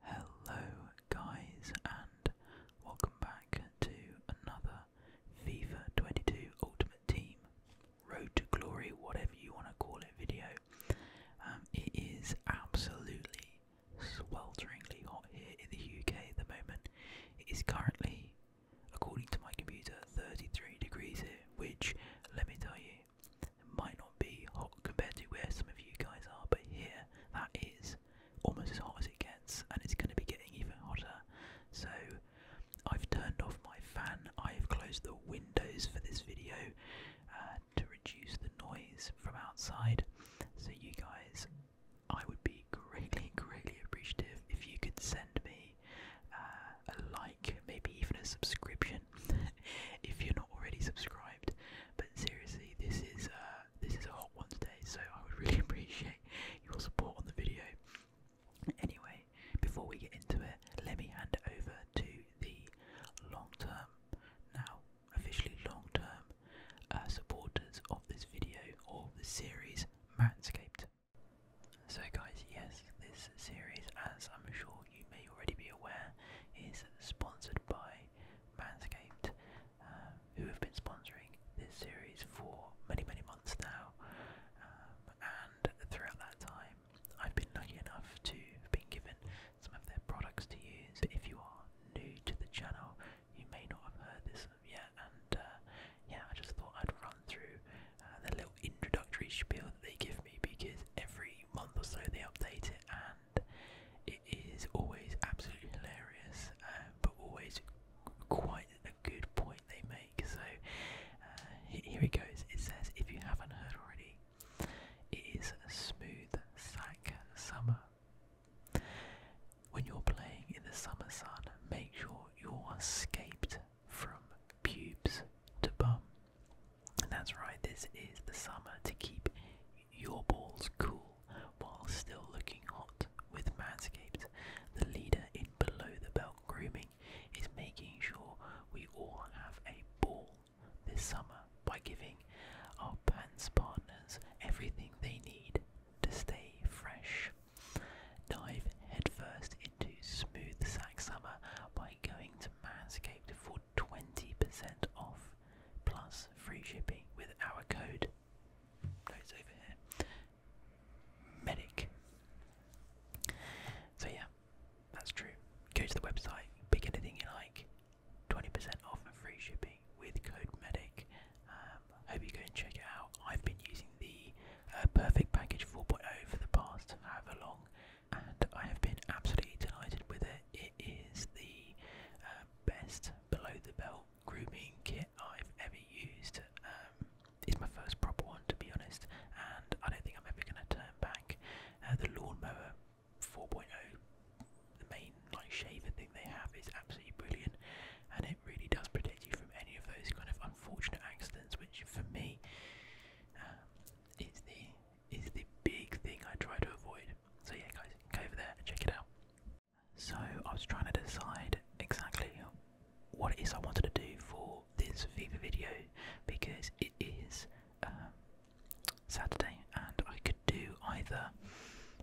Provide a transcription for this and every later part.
Hello guys and welcome back to another FIFA 22 Ultimate Team Road to Glory, whatever you want to call it, video. Um, it is absolutely swelteringly hot here in the UK at the moment. It is currently, according to my computer, 33 degrees here, which, let me tell you, might not be hot compared to where some of you guys are, but here that is almost as hot as it gets, and it's going to be getting even hotter. So I've turned off my fan, I've closed the windows for this video uh, to reduce the noise from outside. So, you guys, I would be greatly, greatly appreciative if you could send me uh, a like, maybe even a subscription if you're not already subscribed. But seriously, this is uh, this is a hot one today, so I would really appreciate your support on the video. Anyway, before we get into it, let me hand over to the long-term, now officially long-term uh, supporters of this video or the series Manscaped. So, guys, yes, this series, as I'm sure you may already be aware, is sponsored by Manscaped, um, who have been sponsoring this series for many, many months now. Um, and throughout that time, I've been lucky enough to have been given some of their products to use. But if you are new to the channel, you may not have heard this yet. And uh, yeah, I just thought I'd run through uh, the little introductory spiel that they give me because every month or so they update it. And it is always absolutely hilarious, um, but always quite a good point they make. So uh, here it goes. It says, if you haven't heard already, it is a smooth sack summer. When you're playing in the summer sun, make sure you're escaped from pubes to bum. And that's right, this is the summer to keep your balls cool while still looking hot with Manscaped, the leader in below the belt grooming, is making sure we all have a ball this summer by giving our pants partners everything they need to stay fresh. Dive headfirst into smooth sack summer by going to Manscaped for 20% off plus free shipping with our code. No, over here. Medic. So yeah, that's true. Go to the website, pick anything you like. 20% off and free shipping with code medic. Um, hope you go and check it out. I've been using the uh, Perfect Package 4.0 for the past however long, and I have been absolutely delighted with it. Is the uh, best below the belt grooming kit I've ever used. Um, it's my first proper one to be honest, and I don't think I'm ever going to turn back. Uh, the lawnmower 4.0, the main like shaver thing they have, is absolutely brilliant, and it really does protect you from any of those kind of unfortunate accidents. Which for me um, is the is the big thing I try to avoid. So yeah guys, go over there and check it out. So I was trying to decide exactly what it is I wanted to do for this FIFA video because it is um, Saturday and I could do either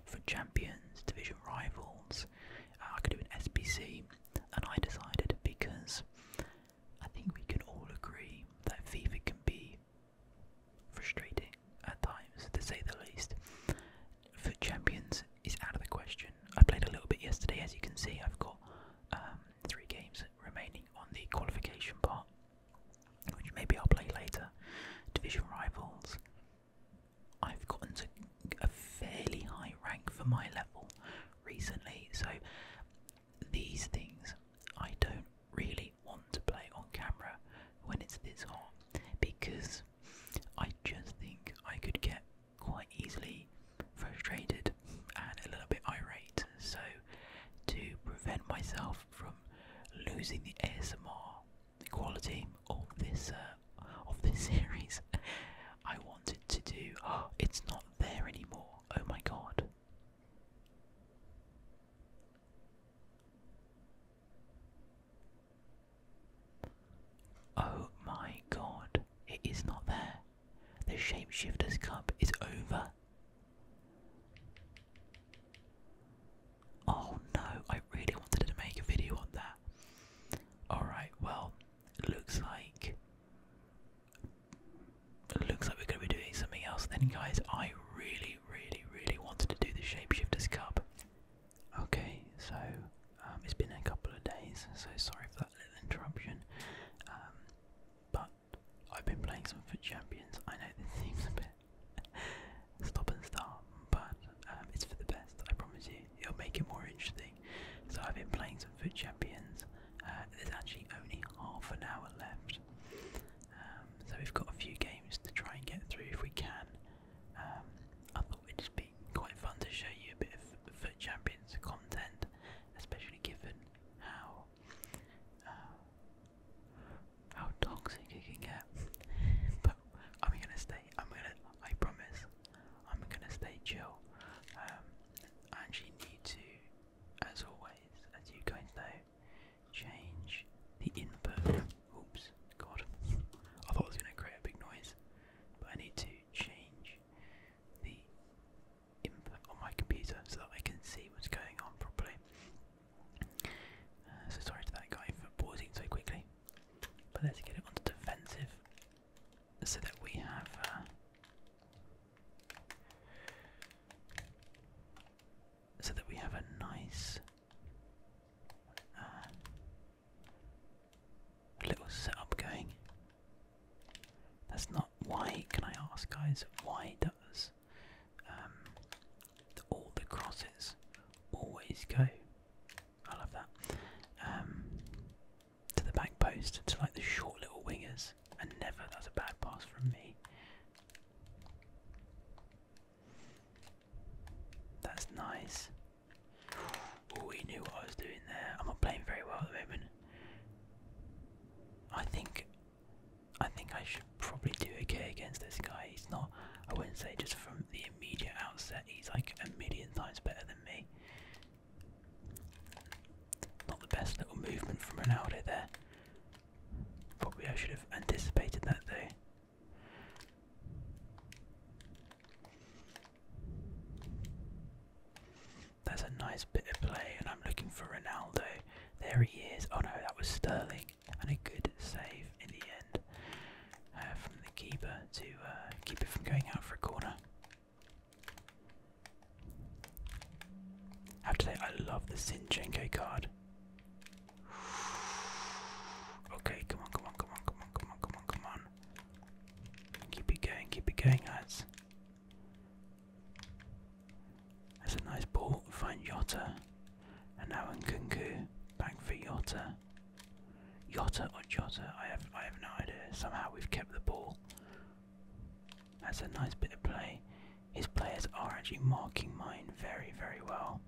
for champions, division rivals, uh, I could do an SPC, and I decided because I think we can all agree that FIFA can be Frustrating at times, to say the least. For champions is out of the question. I played a little bit yesterday, as you can see. I've got um, three games remaining on the qualification part, which maybe I'll play later. Division rivals. I've gotten to a fairly high rank for my level recently, so these things I don't really want to play on camera when it's this hot because I just think I could get quite easily frustrated and a little bit irate. So, to prevent myself from losing the ASMR quality of this uh, of this series, I wanted to do. it's not there anymore. Oh my god. Oh my god, it is not there. The Shapeshifter's Cup is over. Oh no, I really wanted to make a video on that. Alright, well, looks like. It looks like we're going to be doing something else then, guys. I really, really, really wanted to do the Shapeshifter's Cup. Okay, so um, it's been a couple of days, so sorry for that little interruption. Um, but I've been playing some Foot Champions. I know this seems a bit stop and start, but um, it's for the best. I promise you, it'll make it more interesting. So I've been playing some Foot Champions. Uh, there's actually only half an hour left, so we've got a few games to try and get through if we can. Um, I thought it'd just be quite fun to show you a bit of Foot content, especially given how uh, how toxic it can get. but I'm gonna stay. I'm gonna. I promise. I'm gonna stay chill. Um, and you need to, as always, as you guys know, change the input. Oops, God. I thought it was going to create a big noise, but I need to change the input on my computer so that I can see what's going on properly. Uh, so sorry to that guy for pausing so quickly. But let's get it onto defensive so that we have. Uh, so that we have a nice a little setup going. That's not why. Can I ask, guys? Why does um, all the crosses always go? I love that. Um, to the back post, to like the short little wingers, and never. That's a bad pass from me. That's nice. Oh, he knew what I was doing there. I'm not playing very well at the moment. I think I think I should probably do okay against this guy. He's not I wouldn't say just from the immediate outset he's like a million times better than me. Not the best little movement from Ronaldo there. Probably I should have anticipated that though. That's a nice bit of play, and I'm looking for Ronaldo. There he is. Oh no, that was Sterling, and a good save in the end uh, from the keeper to uh, keep it from going out for a corner. After that, I love the Sinchenko card. Okay, come on, come on, come on, come on, come on, come on, come on. Keep it going, keep it going, guys. That's a nice ball. Find Yota, And now in Kunku. Back for Yota. Yota or Yota? I have I have no idea. Somehow we've kept the ball. That's a nice bit of play. His players are actually marking mine very, very well.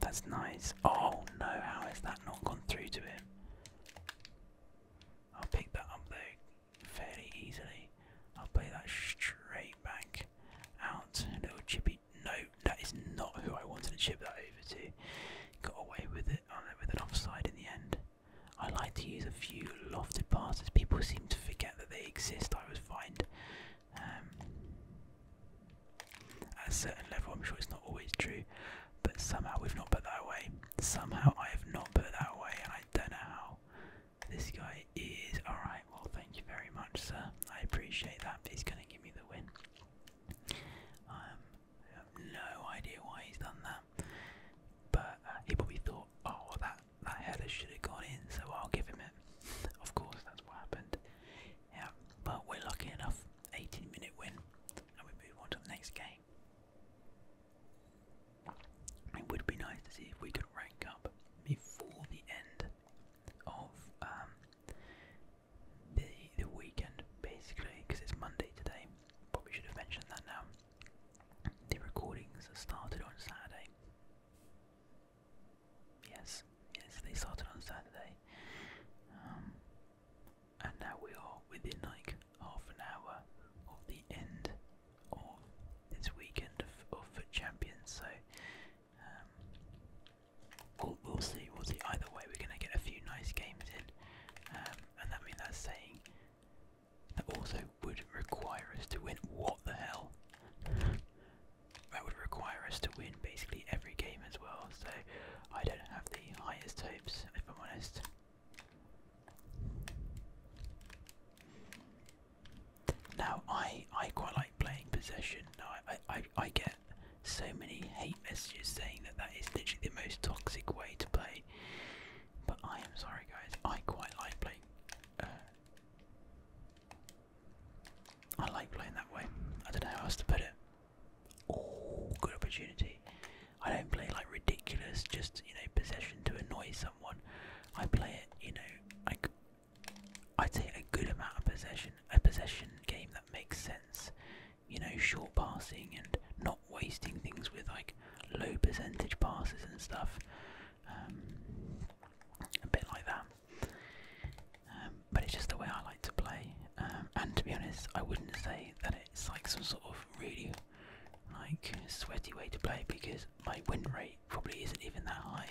That's nice. Oh no, how has that not gone through to him? I'll pick that up though fairly easily. I'll play that straight back out. A little chippy. No, that is not who I wanted to chip that over to. Got away with it oh, with an offside in the end. I like to use a few lofted passes. People seem to forget that they exist. I was find um, at a certain level, I'm sure it's not always true, but somehow we've not put that away. Somehow I have not put that away, and I don't know how. This guy is alright, well, thank you very much, sir. I appreciate that. He's going to give me the win. Um, I have no idea why he's done that, but uh, he probably thought, oh, that, that header should have gone in, so I'll give him it. Of course, that's what happened. Yeah, but we're lucky enough. 18 minute win, and we move on to the next game. It would be nice to see if we could rank up before the end of um, the the weekend, basically, because it's Monday today. Probably should have mentioned that now. The recordings started on Saturday. Yes, yes, they started on Saturday. Um, and now we are within like half an hour of the end of this weekend of, of Foot Champions, so um, we'll, we'll see, we'll see. Either way, we're going to get a few nice games in, um, and that means that's saying that also would require us to win. What the hell? that would require us to win basically every game as well, so I don't have the highest hopes, if I'm honest. Now, I I quite like playing possession. I, I I get so many hate messages saying that that is literally the most toxic way to play. But I am sorry, guys. I quite like playing. Uh, I like playing that way. I don't know how else to put it. Oh, good opportunity. I don't play like ridiculous, just you know, possession to annoy someone. I play it, you know, like I'd say a good amount of possession, a possession game that makes sense. You know, short passing and not wasting things with like low percentage passes and stuff. Um, a bit like that. Um, but it's just the way I like to play. Um, and to be honest, I wouldn't say that it's like some sort of really like sweaty way to play because my win rate probably isn't even that high.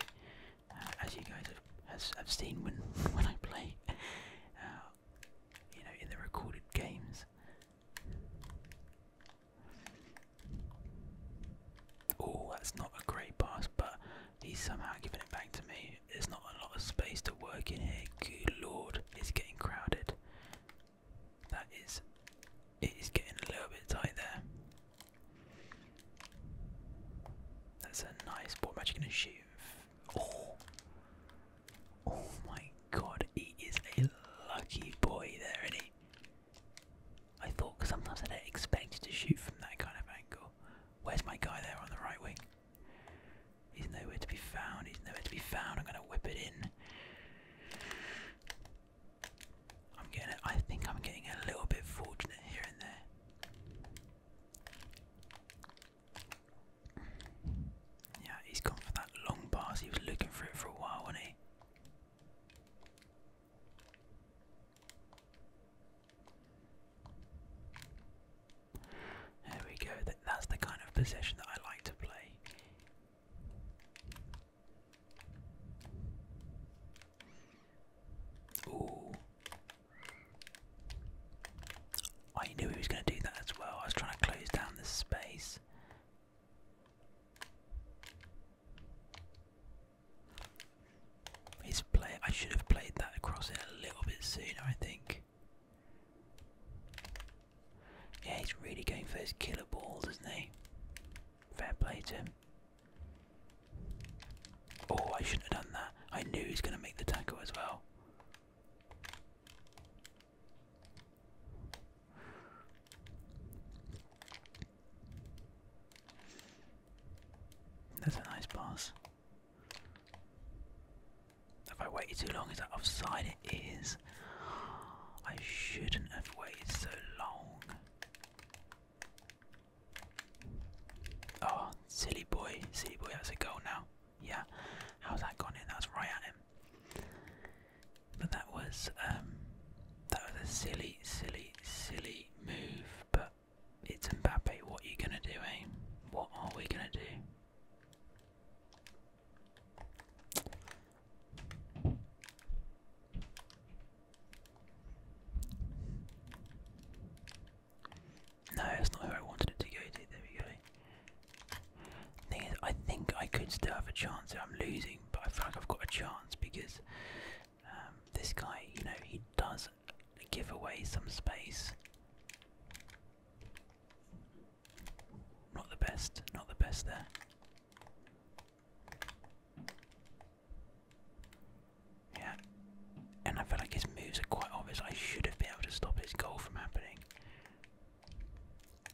Uh, as you guys have, have seen when when I play, uh, you know, in the recorded games. Oh, that's not a great pass, but He's somehow giving it back to me. There's not a lot of space to work in here. Good lord, it's getting crowded. That is, it is getting a little bit tight there. That's a nice ball. Magic gonna shoot. Oh, oh my god, he is a lucky boy there, isn't he? I thought, because sometimes I don't expect to shoot from that kind of angle. Where's my guy there on the right wing? He's nowhere to be found. He's nowhere to be found. I'm gonna whip it in. I'm getting. I think I'm getting a little bit fortunate here and there. Yeah, he's gone for that long pass. He was looking for it for a while, wasn't he? There we go, that's the kind of possession that I like to play. Ooh. I knew he was going to do that as well. I was trying to close down the space. His play, I should have played that across it a little bit sooner, I think. Yeah, he's really going for his killer balls, isn't he? Fair play to him. Oh, I shouldn't have done that. I knew he was going to make the tackle as well. That's a nice pass. If I waited too long? Is that offside? It is. I shouldn't have waited so long. Oh, silly boy, silly boy, that's a goal now. Yeah, how's that gone in? That's right at him. But that was um, that was a silly, silly, silly move. But it's Mbappe. What are you gonna do, eh? What are we gonna do? No, that's not where I wanted it to go to. There we go. Thing is, I think I could still have a chance if I'm losing, but I feel like I've got a chance because um, this guy, you know, he does give away some space. Not the best, not the best there. Yeah, and I feel like his moves are quite obvious. I should have been able to stop his goal from happening.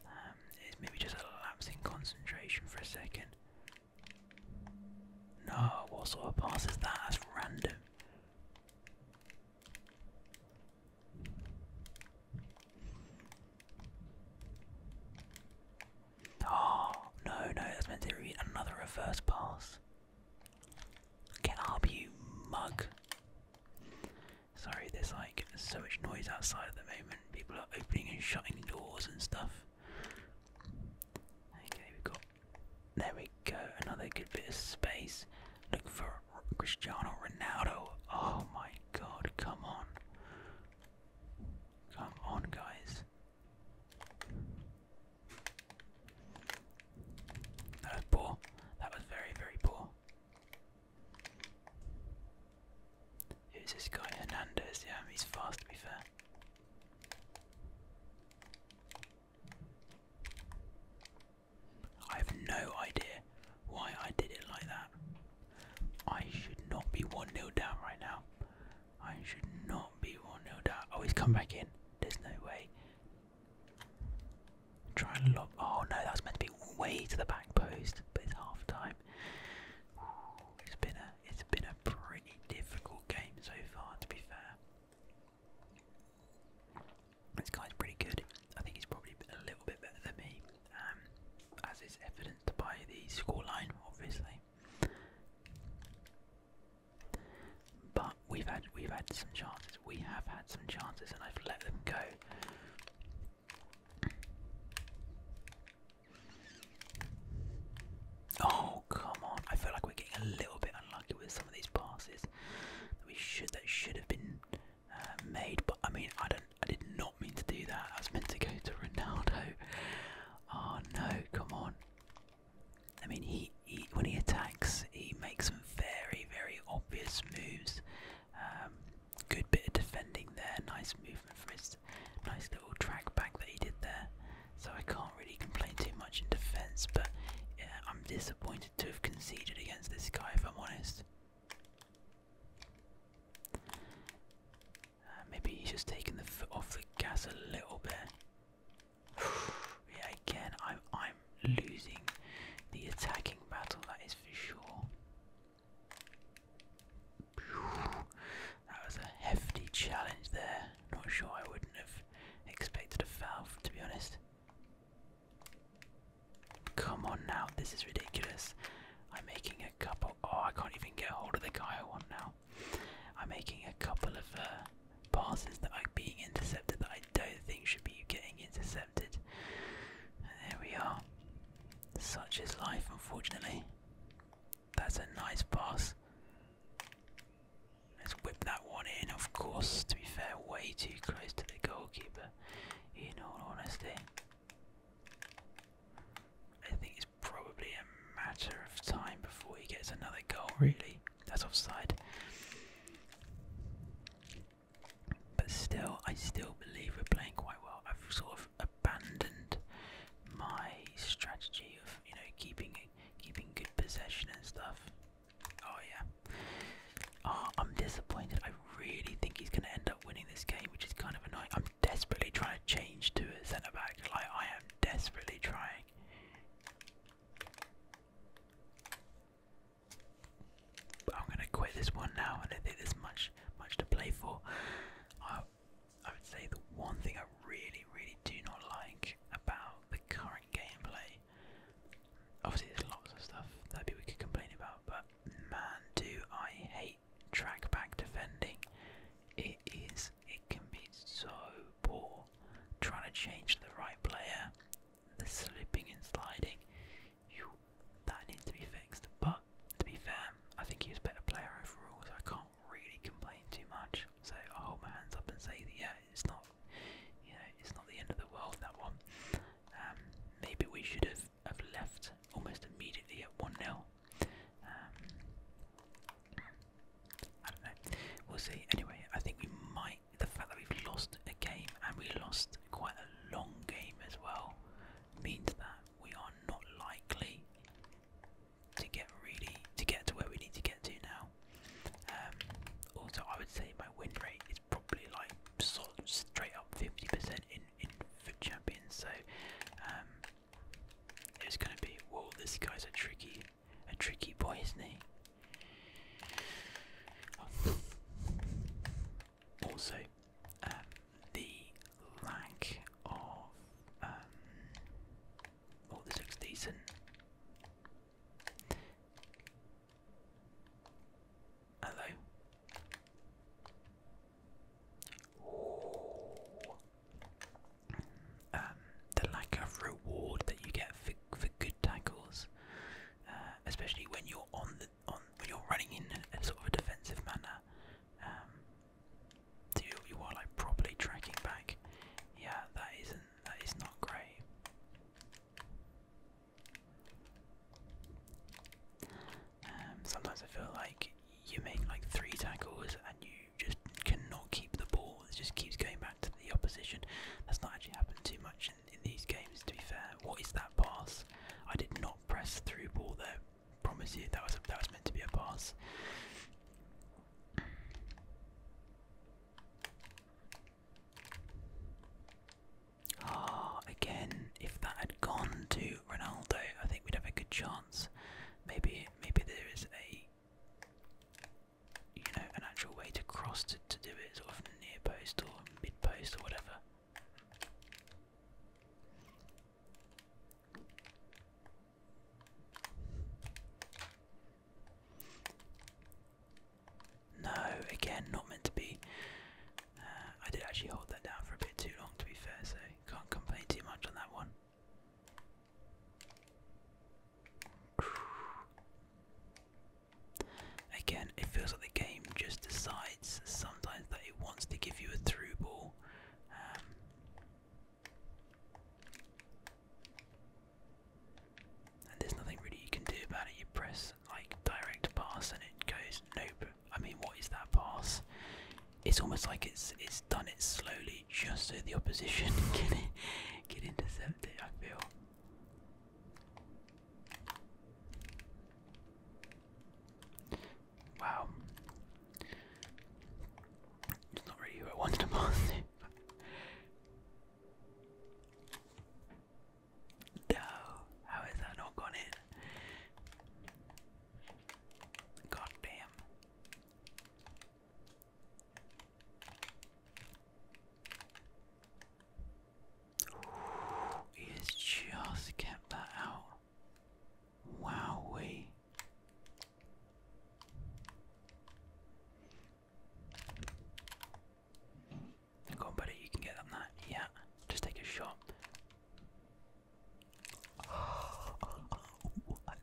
Um, it's maybe just a lapse in concentration for a second. No, what sort of pass is that? That's random. Oh, no, no, that's meant to be another reverse pass. Get up, you mug. Sorry, there's like so much noise outside at the moment. People are opening and shutting doors and stuff. Okay, we've got. There we go, another good bit of space. Look for Cristiano Ronaldo. Oh my god, come on. Come on, guys. That was poor. That was very, very poor. Who's this guy? Hernandez. Yeah, he's fast, to be fair. I have no idea why I did it like that. I should not be 1 0 down right now. I should not be 1 0 down. Oh, he's come back in. There's no way. Try and lob. Oh no, that was meant to be way to the back post, but it's half time. It's been a it's been a pretty difficult game so far, to be fair. This guy's pretty good. I think he's probably a little bit better than me, um, as is evidenced by the scoreline, obviously. But we've had we've had some chances. We have had some chances, and I've let them go. Oh come on! I feel like we're getting a little bit unlucky with some of these passes. That we should that should have been uh, made. But I mean, I don't. I did not mean to do that. I was meant to go to Ronaldo. Oh no! Come on. I mean, he, he when he attacks, he makes some very, very obvious moves. Um, good bit of defending there. Nice movement for his nice little track back that he did there. So I can't really complain too much in defence, but yeah, I'm disappointed to have conceded against this guy, if I'm honest. Uh, maybe he's just taken the foot off the gas a little bit. yeah, again, I'm I'm losing the attacking battle. That is for sure. That was a hefty challenge there. Not sure I wouldn't have expected a foul, to be honest. Come on now, this is ridiculous. I'm making a couple. Oh, I can't even get hold of the guy I want now. I'm making a couple of uh, passes that are being intercepted that I don't think should be getting intercepted. And there we are. Such is life, unfortunately. That's a nice pass. Let's whip that one in, of course, to be fair, way too close to the goalkeeper in all honesty. I think it's probably a matter of time before he gets another goal, really. That's offside. But still, I still believe we're playing quite well. I've sort of abandoned my strategy of, you know, keeping keeping good possession and stuff. Oh yeah. Oh, I'm disappointed. I really think he's going to end up winning this game, which is kind of annoying. I'm desperately trying to change to a centre back. Like I am desperately trying. I'm going to quit this one now. I don't think there's much much to play for. I, I would say the one thing I really, really do not like about the current gameplay Obviously, there's lots of stuff that we could complain about, but man, do I hate track back defending. It is, it can be so poor trying to change the right player, the slipping and sliding. You, that needs to be fixed, but to be fair, I think he was a better player overall, so I can't really complain too much. So i hold my hands up and say that yeah, it's not, you know, it's not the end of the world that one. Um, maybe we should have, have left almost immediately at 1 0. Um, I don't know. We'll see. Anyway, I think we might. The fact that we've lost a game and we lost quite a long game as well means that we are not likely to get really to get to where we need to get to now. Um, also, I would say my win rate is probably like straight up 50% in, in Foot Champions, so um, it's going to be, whoa, this guy's a tricky, a tricky boy, isn't he? Also, um, the lack of, oh, this looks decent. Hello. Um, the lack of reward that you get for, for good tackles, uh, especially when you're on the on when you're running in a, sort of a defensive manner, um, so you, you are like properly tracking back. Yeah, that isn't that is not great. Um, sometimes I feel like you make like three tackles and you just cannot keep the ball. It just keeps going back to the opposition. That's not actually happened too much in, these games, to be fair. What is that pass? I did not press through ball there. Promise you that was that was meant to be a pass. Ah, again, if that had gone to Ronaldo, I think we'd have a good chance. Maybe, maybe there is a, you know, an actual way to cross to to do it, sort of near post or mid post or whatever. No, again, not meant to be. Uh, I did actually hold that down for a bit too long, to be fair, so can't complain too much on that one. Again, it feels like the game just decides sometimes that it wants to give you a through ball. Um, and there's nothing really you can do about it. You press like direct pass, and it goes nope. I mean, what is that pass? It's almost like it's it's done it slowly, just so the opposition can get intercepted. I feel. Wow. It's not really who I wanted to pass no, how is that not gone in? God damn. Ooh, just kept that out. Wowee. Go on, you can get up there. Yeah, just take a shot. what?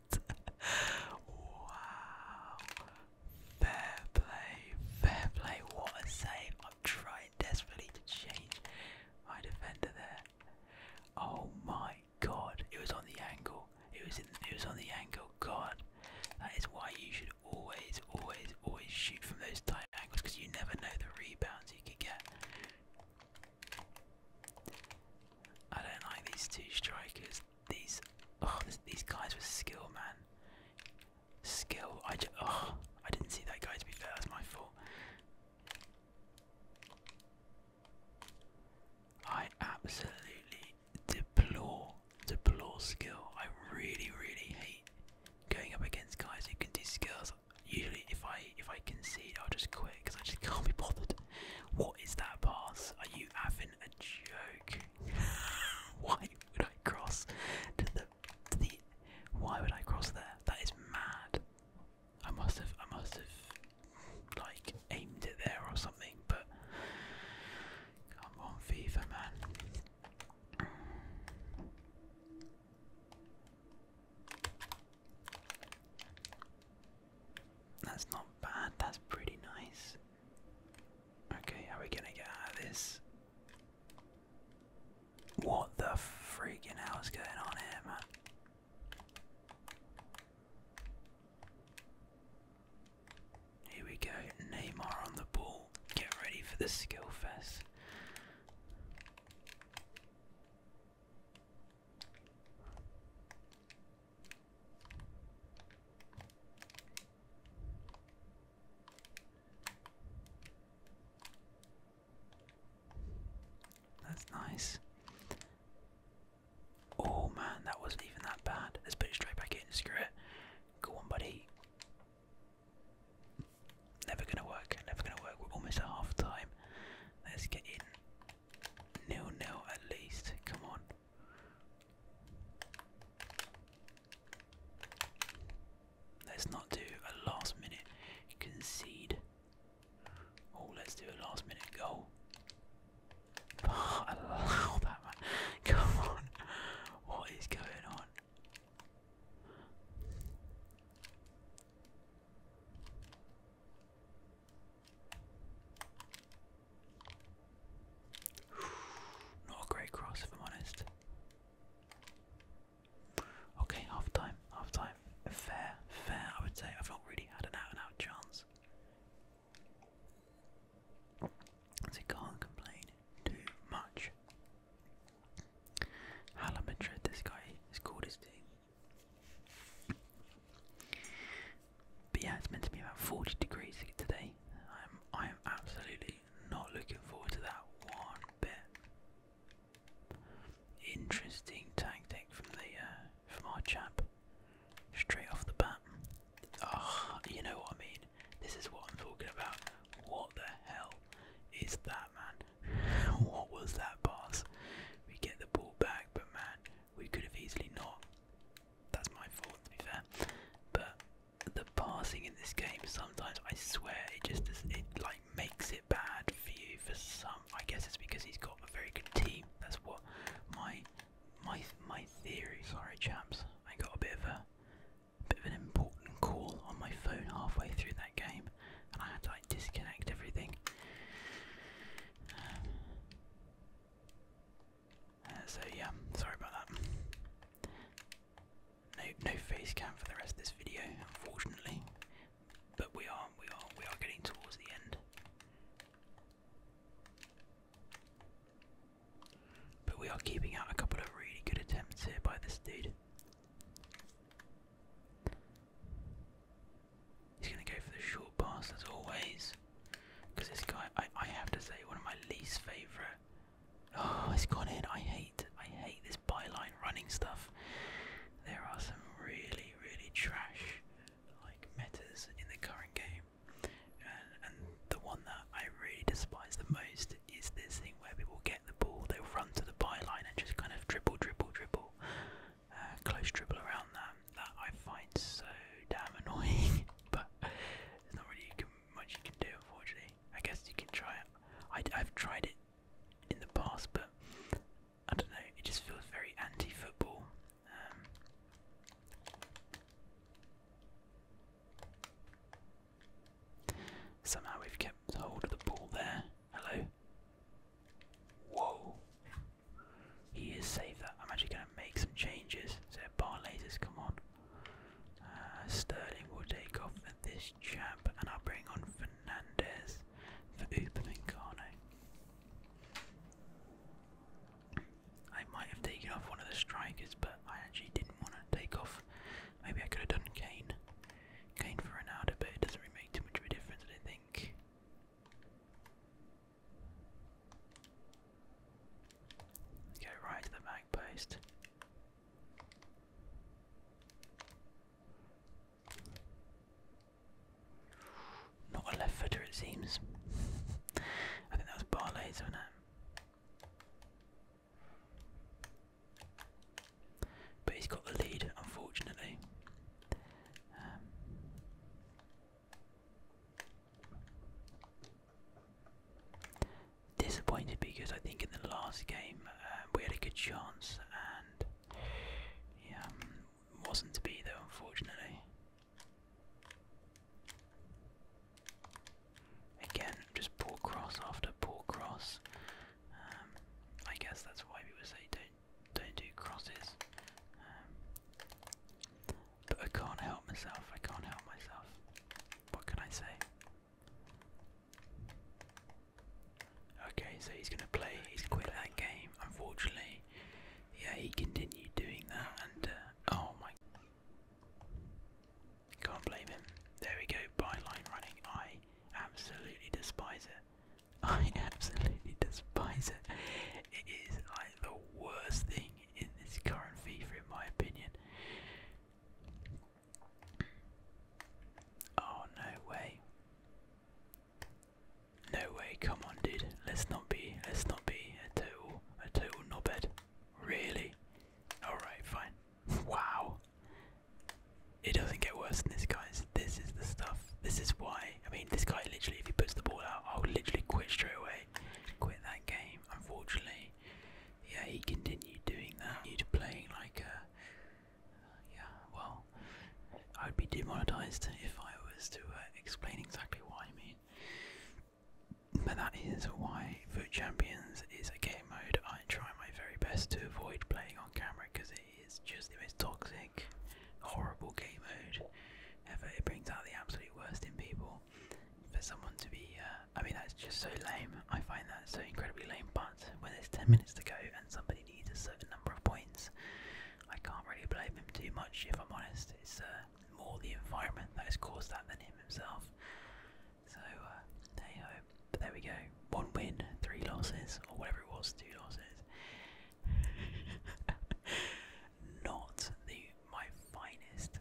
wow. Fair play, fair play. What a save. i am trying desperately to change my defender there. Oh my god. It was on the angle. It was in it was on the angle. God. That is why you should always, always, always shoot from those tight angles because you never know the rebounds. I don't like these two strikers. These, oh, these guys with skill, man. Skill. I just, oh, I didn't see that guy. To be fair, that's my fault. I absolutely deplore, deplore skill. I really, really hate going up against guys who can do skills Usually, if I if I concede, I'll just quit because I just can't be bothered. What is that pass? Are you having a joke? why would I cross to the to the? Why would I cross there? That is mad. I must have I must have like aimed it there or something. But come on, FIFA man. That's not bad, that's pretty nice. Okay, how are we gonna get out of this? What the freaking hell is going on here, man? Here we go, Neymar on the ball. Get ready for the skill fest. That's nice. Oh man, that wasn't even that bad. Let's put it straight back in. Screw it. Go on, buddy. Never gonna work, never gonna work. We're almost at half time. Let's get in. Nil nil at least. Come on. Let's not do a last minute concede. Oh, let's do a last minute goal. Oh, allow that man. Come on. What is going on? Not a great cross, if I'm honest. Okay, half time, half time. Fair, fair, I would say. I've not really had an out and out chance. So can't complain too much am Hala Madrid, this guy is called his team. But yeah, it's meant to be about 40 degrees today. I'm I am absolutely not looking forward to that one bit. Interesting tactic from the uh, from our chap. Straight off the bat. Ah, you know what I mean. This is what I'm talking about. What the hell is that, man? what was that pass? We get the ball back, but man, we could have easily not. That's my fault, to be fair. But the passing in this game, sometimes I swear it just it like makes it bad for you. For some, I guess it's because he's got a very good team. That's what my my my theory. Sorry, chaps, I got a bit of a bit of an important call on my phone halfway through that game, and I had to disconnect everything. Uh, uh, so yeah, sorry about that. No, no face cam for the rest of this video, unfortunately. But we are, we are, we are getting towards the end. But we are keeping out a couple of really good attempts here by this dude. He's going to go for the short pass as always. Because this guy, I, I have to say, one of my least favourite. Oh, it's gone in. I hate, I hate this byline running stuff. There are some really, really trash like metas in the current game, and the one that I really despise the most is this thing where people get the ball, they'll run to the byline and just kind of dribble, dribble, dribble, uh, close dribble around that. That I find so damn annoying, but there's not really much you can do, unfortunately. I guess you can try I, have tried it in the past, but I don't know. It just feels very anti-football. Um, somehow we've kept hold of the ball there. Hello. Whoa. He is saved I'm actually going to make some changes. So Barlas lasers, come on. Uh, Sterling will take off for this chap, and I'll bring on Fernandez for Upamincano. I might have taken off one of the strikers, but I actually didn't want to take off. Maybe I could have done Kane. Going for an outer, but it doesn't really make too much of a difference, I think. Go right to the mag post. Not a left footer, it seems. I think that was Barley's, wasn't it? But he's got the lead, unfortunately. Um, disappointed because I think in the last game uh, we had a good chance and yeah, um, wasn't to be there, unfortunately. Again, just poor cross after poor cross. Um, I guess that's why people say don't don't do crosses. Um, but I can't help myself. I can't help myself. What can I say? Okay, so he's going to play. He's quit that game, unfortunately. Yeah, he continued doing that, and uh, oh my. Can't blame him. There we go, byline running. I absolutely despise it. I absolutely despise it. It is like the worst thing in this current FIFA, in my opinion. Oh, no way. No way, come on, dude. Let's not be, let's not be a total, a total knobhead. Really? Alright, fine. Wow. It doesn't get worse than this, guys. This is the stuff. This is why. I mean, this guy literally, if he puts the ball out, I'll literally quit straight away. Quit that game, unfortunately. Yeah, he continued doing that. Need to playing like a. Uh, yeah, well, I'd be demonetized if I was to uh, explain exactly what I mean. But that is why Foot Champions is a game mode I try my very best to avoid playing on camera because it it's just the most toxic, horrible game mode ever. It brings out the absolute worst in people. For someone to be, uh, I mean, that's just so lame. I find that so incredibly lame. But when there's 10 minutes to go and somebody needs a certain number of points, I can't really blame him too much if I'm honest. It's uh, more the environment that has caused that than him himself. So, there uh, you go. there we go one win, three losses, or whatever it was, two losses. Not the my finest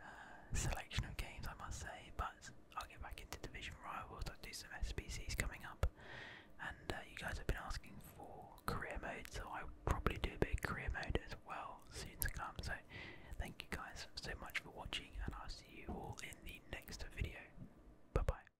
uh, selection of games, I must say, but I'll get back into division rivals. I'll do some SPCs coming up, and uh, you guys have been asking for career mode, so I'll probably do a bit of career mode as well soon to come. So, thank you guys so much for watching, and I'll see you all in the next video. Bye bye.